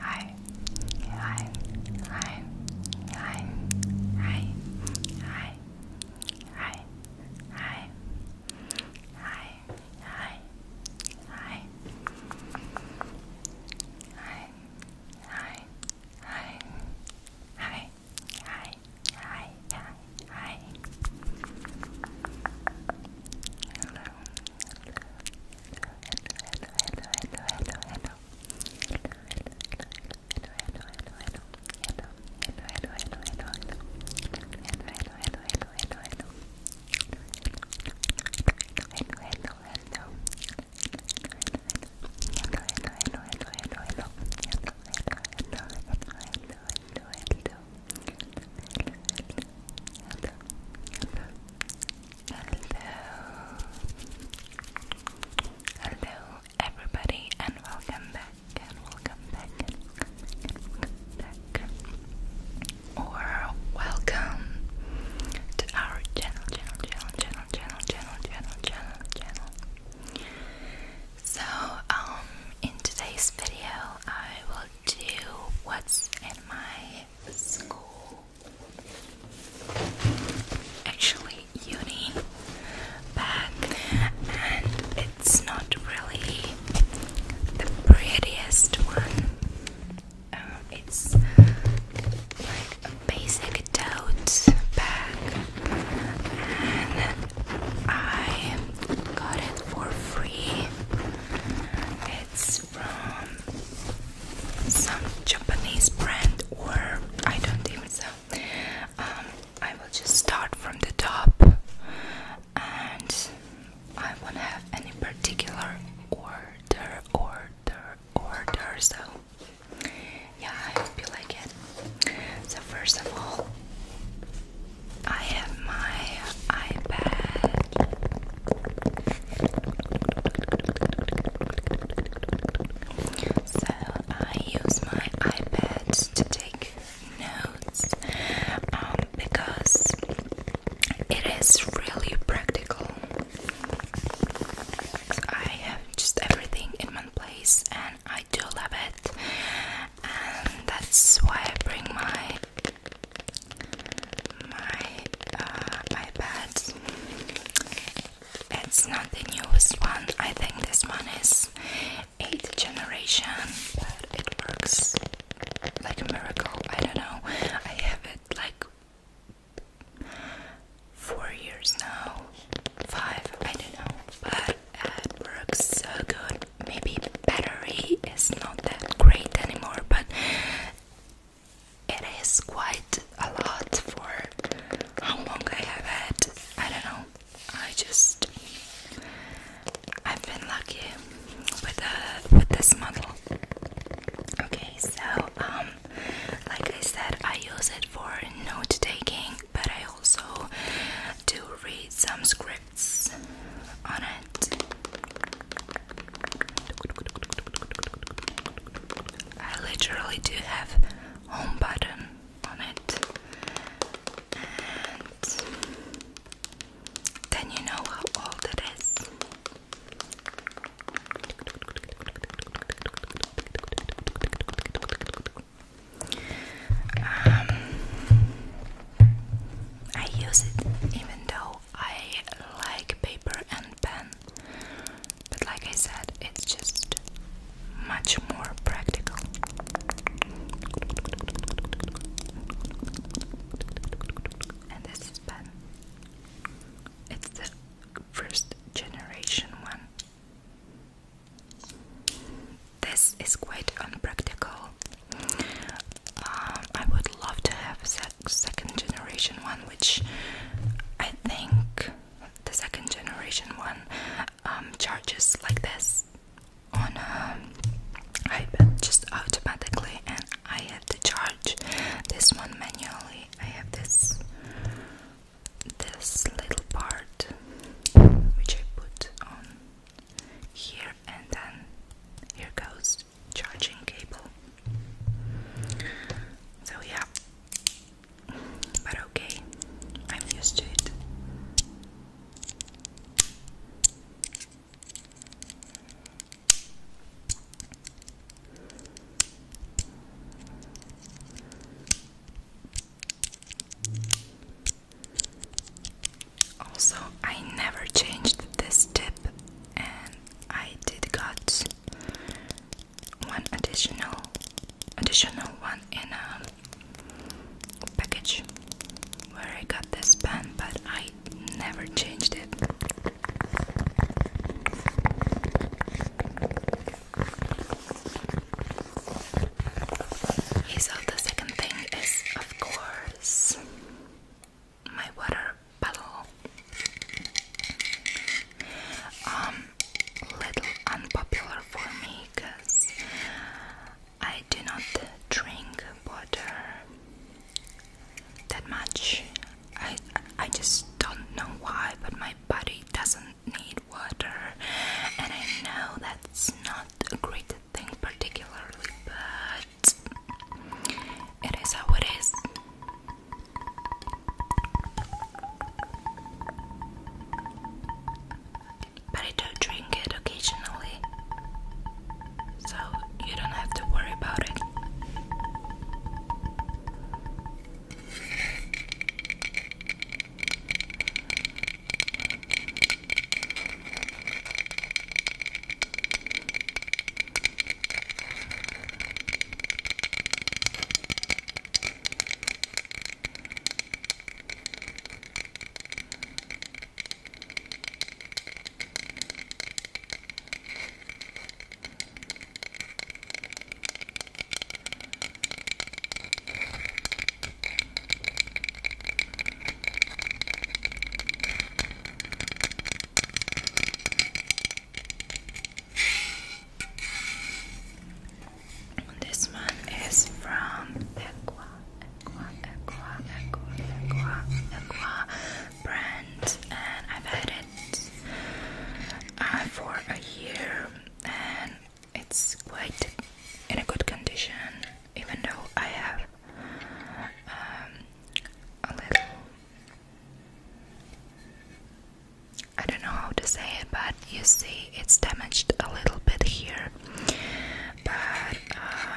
Hi, hi, hi, hi, hi, hi, hi. Hi. Hi. Hi. Hi. Hi. Hi. Hi. Hi. Hi. Hi. Hi. Hi. Hello. Hello. Hello. Hello. Hello. Hello. Hello. Hello. Hello everybody and welcome back and welcome back. Or welcome to our channel, channel, channel, channel, channel, channel, channel, channel, channel. So, um, in today's video, I will do what's in my school. Actually, uni bag, and it's not really the prettiest one. Um, it's like a basic tote bag, and I got it for free. It's from some Japanese brand, or I don't even know. Um, I will just start from the top and I won't have any particular order, order, order. So, yeah, I hope you like it. So, first of all, I have my iPad. So, I use my iPad to take notes um, because it is really practical. I have just everything in one place and I do love it, and that's why I bring my my uh, iPad. It's not the newest one. I think this one is Eight generation, but it works like a miracle. I don't know. I have it like four years now, five. I don't know, but it works so good. Maybe battery is not that great anymore, but it is quite a lot for how long I have it. I don't know. I just I've been lucky with uh with this model. Okay, so um like I said I use it for note taking but I also do read some scripts on it. I literally do have home button then you know how old it is. Um, I use it even though I like paper and pen, but like I said, it's just much more practical. And this is pen. It's the first generation one. This is quite unpractical. Um, I would love to have a second generation one, which I think the second generation one um, charges like this on um, just automatically, and I have to charge this one manually. I have this this little part which I put on here, and then here goes charging cable. So yeah, but okay, I'm used to it. Also, I never changed this tip, and I did got one additional, additional one in a um, package where I got this pen, but I never changed it. So the second thing is, of course, my water bottle. Um, little unpopular for me, cause I do not drink water that much. I I just don't know why, but my body doesn't need water, and I know that's not a great thing particularly, but it is how it is but I do drink it occasionally, so you don't have to worry about it. This one is from Equa Aqua, Aqua, Aqua, Aqua, brand, and I've had it uh, for a year, and it's quite in a good condition, even though I have um, a little. I don't know how to say it, but you see, it's damaged a little bit here. But uh,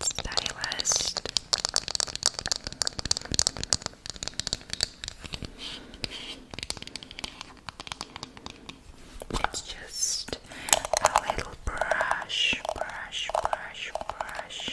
stylist. It's just a little brush, brush, brush, brush.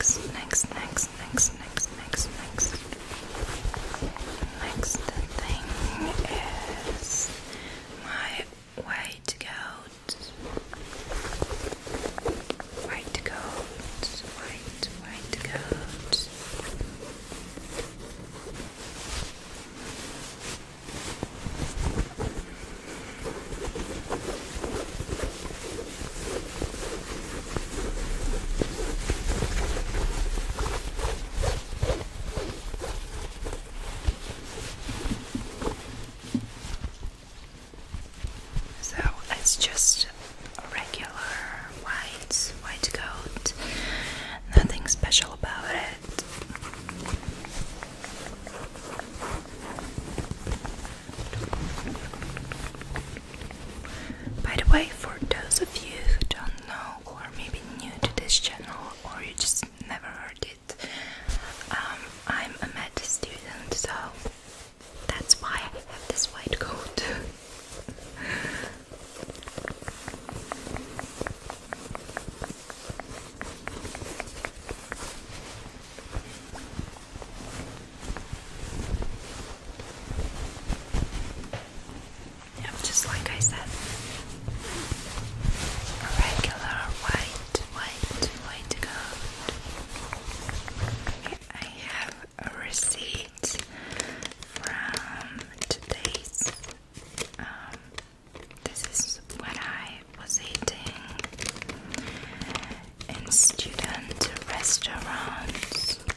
The next, next, next, next, next, next, next, next Next thing is my white coat. White coat, white, white coat. So it's just a regular white white coat. Nothing special about it. By the way, for those of you who don't know, or maybe new to this channel, or you just never heard it, um, I'm a med student, so that's why I have this white coat just like I said. regular white, white, white coat. I have a receipt from today's. Um, this is what I was eating in student restaurants.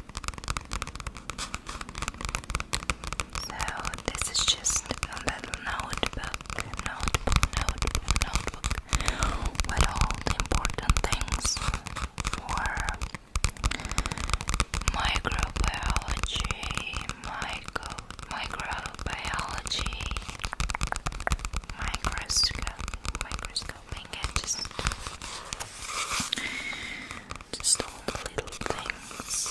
So this is just a notebook, notebook, notebook, notebook all the important things for microbiology, micro microbiology, microscope, microscope tapping just just all little things.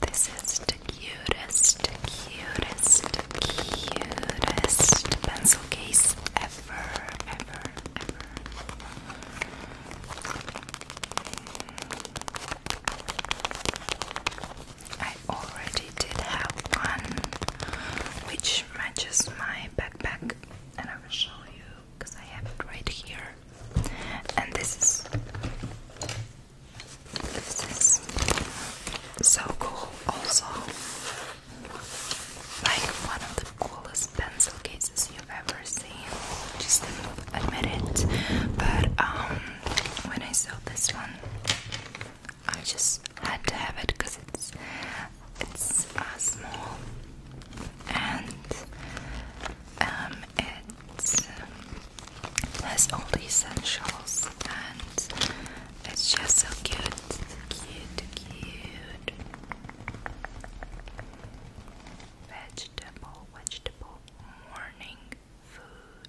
This is the cutest, cutest, cutest pencil case ever, ever, ever. I already did have one which matches my backpack, and I will show you because I have it right here. And this is this is so cool, also. Like one of the coolest pencil cases you've ever seen. Just admit it. But um, when I saw this one, I just had to have it because it's it's uh, small and um, it's has all the essentials and it's just so cute, cute, cute. Vegetable, vegetable, morning food.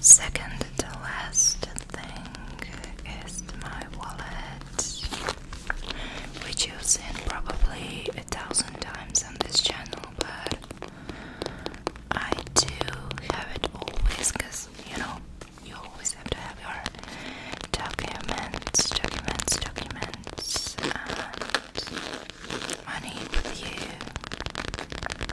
Second to last thing is my wallet, which you've seen probably a thousand times on this channel, but I do have it always because you know you always have to have your documents, documents, documents, and money with you.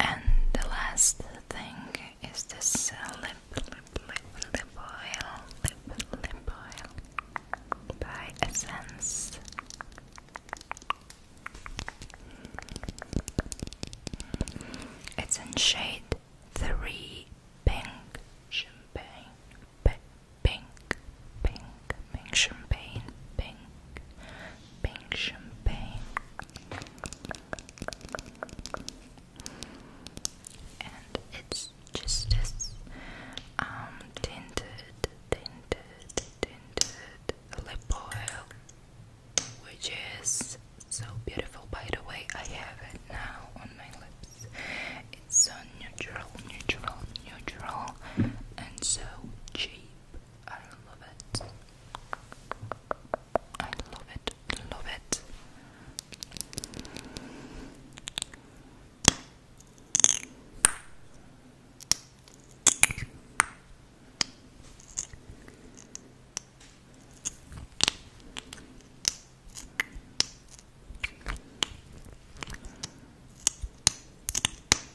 And the last thing is this uh, lip, lip, lip, lip oil, lip, lip oil by Essence. It's in shade three pink champagne, pink, pink, pink champagne, pink pink champagne and it's just this um, tinted tinted tinted lip oil which is so beautiful by the way I have it now on my lips it's so neutral neutral neutral and so cheap I love it. I love it, love it.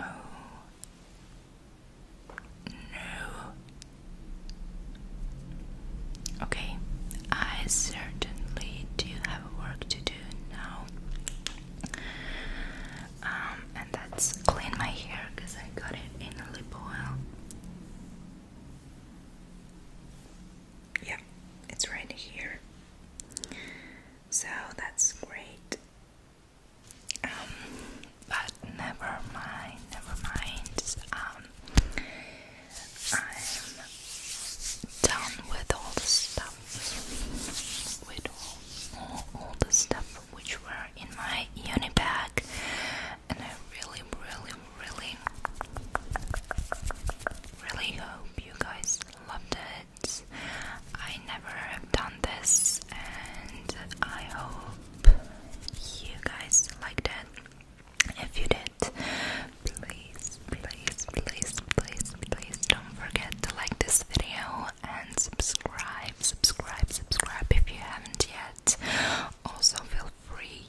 Oh no. Okay, I certainly do have work to do now. Um, and that's clean my hair because I got it in a lip oil yeah, it's right here. So that's great. Um, but never mind, never mind. Um, I'm done with all the stuff, with all, all the stuff which were in my uni bag, and I really, really, really, really hope you guys loved it. I never have done this, and I hope you guys liked it. If you did, please, please, please, please, please don't forget to like this video and subscribe, subscribe, subscribe if you haven't yet. Also, feel free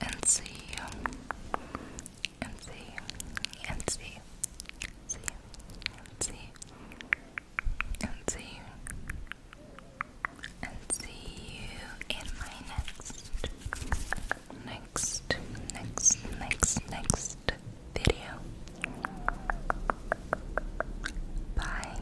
and see you and see and see see and see and see and see you in my next next next next next video bye